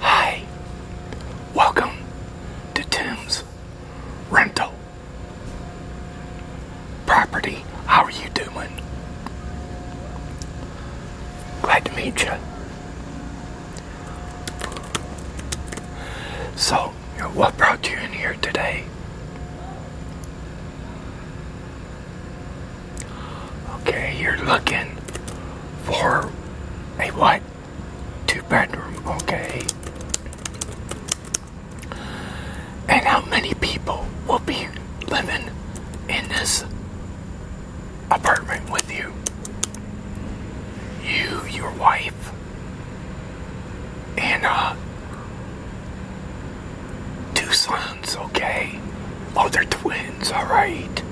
Hi, welcome to Tim's Rental property. How are you doing? Glad to meet you. So, what brought you in here today? Okay, you're looking for a what? Two bedroom, okay and how many people will be living in this apartment with you. You, your wife, and uh, two sons, okay? Oh, they're twins, alright.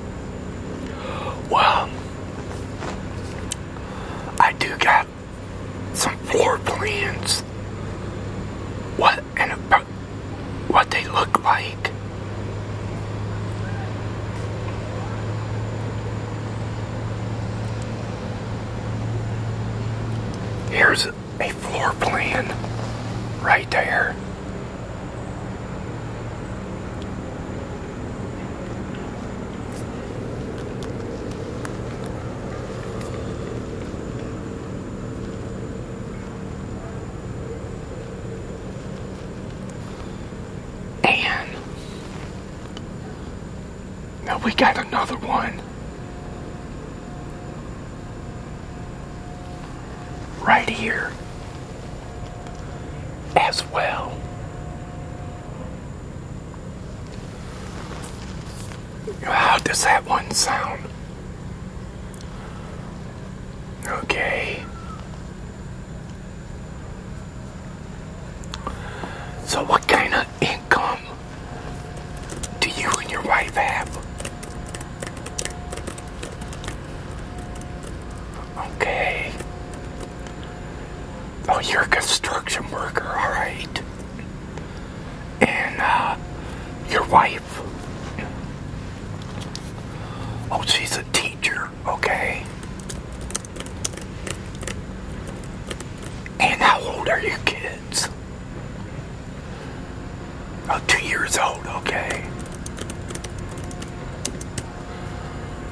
Well, I do got some floor plans. What and what they look like. Here's a floor plan right there. And now we got another one right here as well. How does that one sound? Okay. So what kind of income do you and your wife have? Okay. Oh, you're a construction worker, alright and uh, your wife. Oh, she's a teacher, okay? And how old are your kids? Oh, two years old, okay.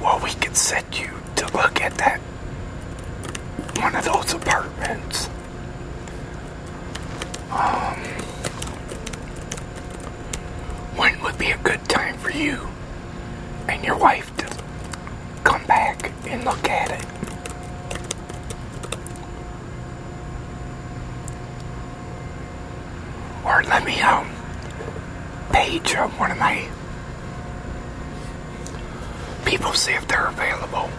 Well, we could set you to look at that one of those apartments. Um, when would be a good time for you and your wife to come back and look at it? Or let me um page up one of my people see if they're available.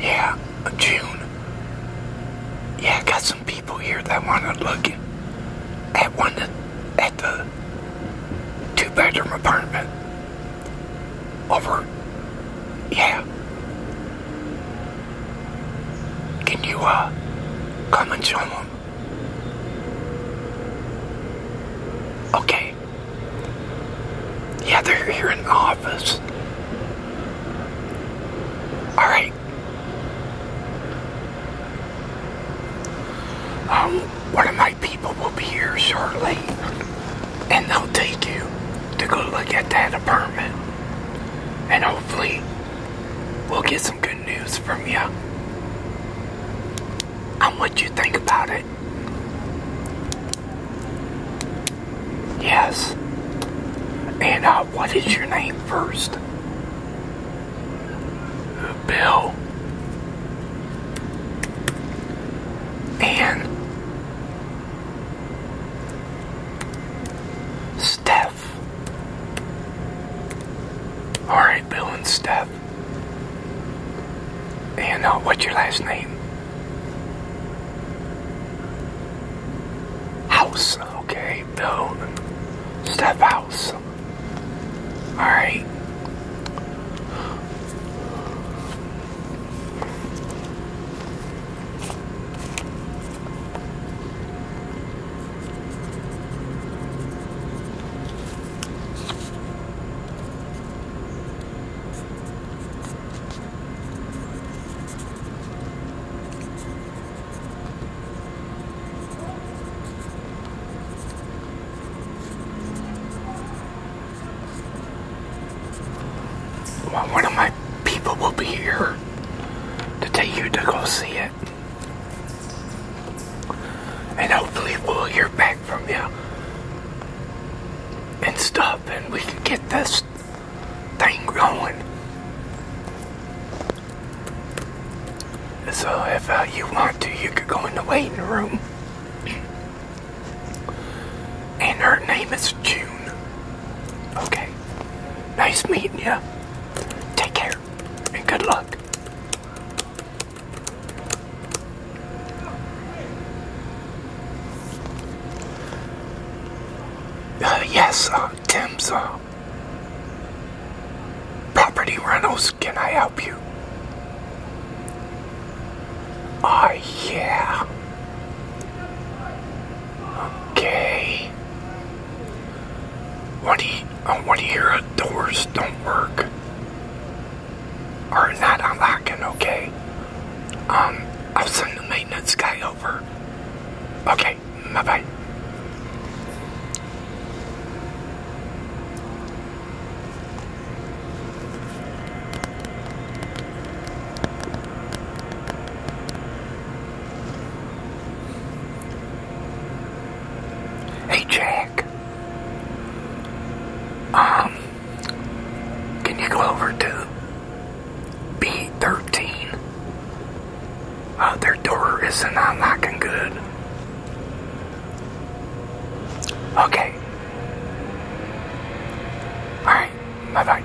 Yeah, June. Yeah, I got some people here that want to look at one that, at the two bedroom apartment over. Yeah. Can you uh come and show them? Okay. Yeah, they're here in the office. Alright. Um, one of my people will be here shortly. And they'll take you to go look at that apartment. And hopefully, we'll get some good news from you And what do you think about it. Yes. And uh, what is your name first? Bill. And Steph. Alright, Bill and Steph. And uh, what's your last name? House. Okay, Bill Steph House. Alright. Well, one of my people will be here to take you to go see it. And hopefully we'll hear back from you and stuff and we can get this thing going. So if uh, you want to, you could go in the waiting room. And her name is June. Okay. Nice meeting you. Take care and good luck. Uh, yes, uh, Tim's uh, property rentals. Can I help you? Ah, yeah. Okay. When you, when you hear doors don't work, Are that unlocking, okay, um, I'll send the maintenance guy over. Okay, bye-bye. Hey Jack. Um can you go over to B thirteen? Uh, their door isn't unlocking uh, good. Okay. Alright, bye bye.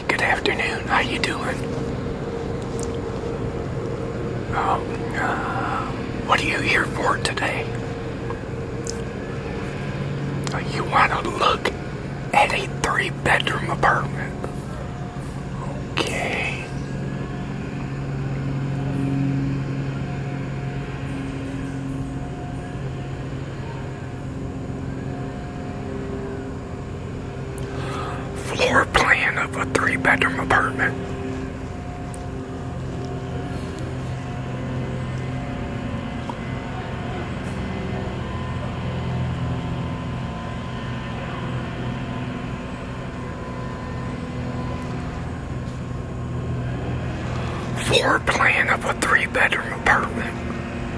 good afternoon. How you doing? Oh, um, what are you here for today? Oh, you want to look at a three-bedroom apartment. Okay. Floor plan of a three bedroom apartment. Floor plan of a three bedroom apartment.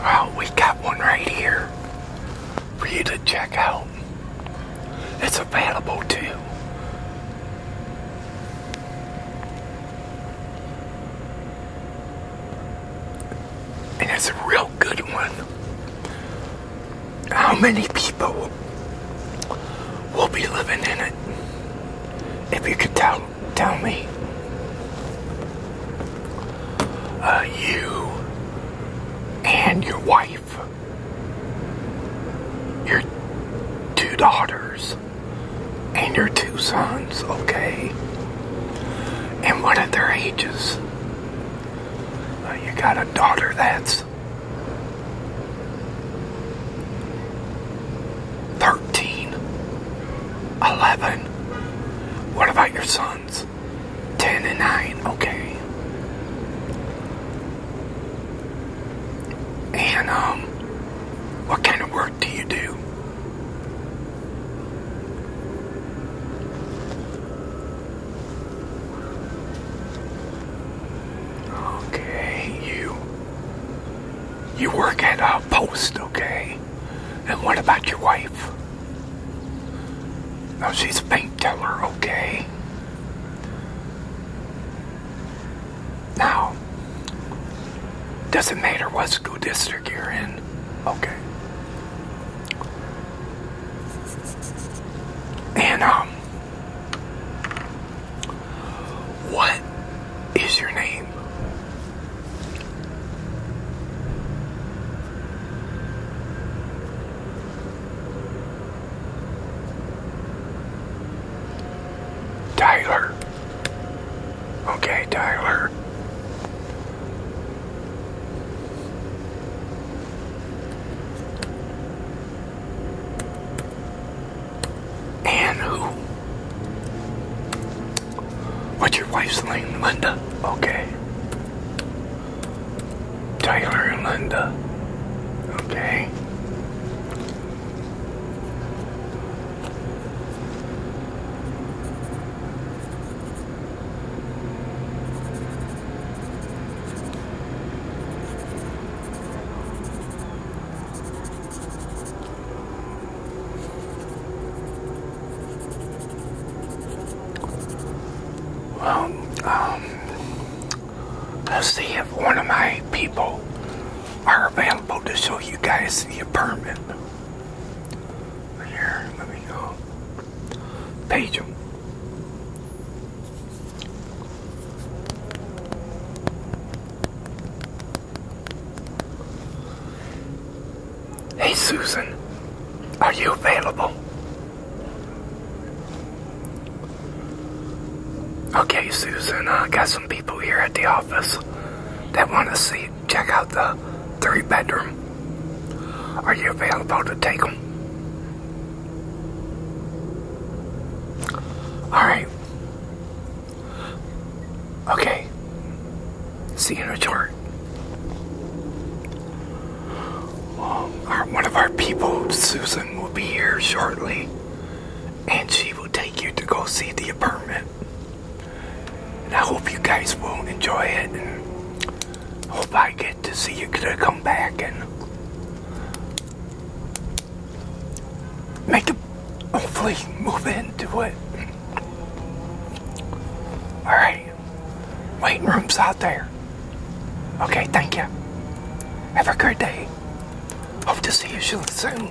Oh, we got one right here for you to check out. It's available too. And it's a real good one. How many people will be living in it? If you could tell, tell me. Uh, you and your wife, your two daughters, and your two sons, okay? And what are their ages? Oh, you got a daughter that's 13, 11. What about your sons? 10 and 9, okay. And, um, what kind of work do you do? Okay, you. You work at a post, okay? And what about your wife? Oh, she's a bank teller, okay? Now, doesn't matter what school district you're in, okay? Anna. Um, what is your name? Tyler. Okay, Tyler. And who? What's your wife's name? Linda? Okay. Tyler and Linda. Okay. Well, um, let's see if one of my people are available to show you guys the apartment. Here, let me go page Hey Susan, are you available? Okay, Susan, I got some people here at the office that want to see check out the three bedroom. Are you available to take them? Alright. Okay. See you in a short. Um, one of our people, Susan, will be here shortly, and she will take you to go see the apartment. And I hope you guys will enjoy it. And hope I get to see you come back and make a hopefully move into it. Alright. Waiting rooms out there. Okay, thank you. Have a great day. Hope to see you soon.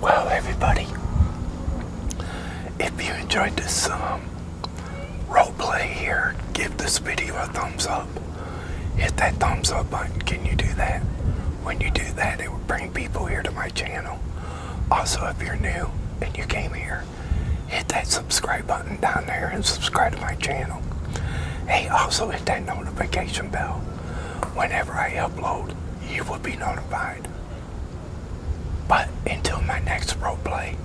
Well, everybody, if you enjoyed this um, role play here, give this video a thumbs up. Hit that thumbs up button. Can you do that? When you do that, it will bring people here to my channel. Also, if you're new and you came here, hit that subscribe button down there and subscribe to my channel. Hey, also hit that notification bell. Whenever I upload, you will be notified. But until my next role play,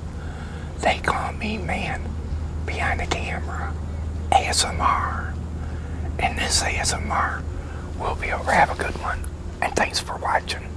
they call me man behind the camera, ASMR. And this ASMR will be a have a good one. And thanks for watching.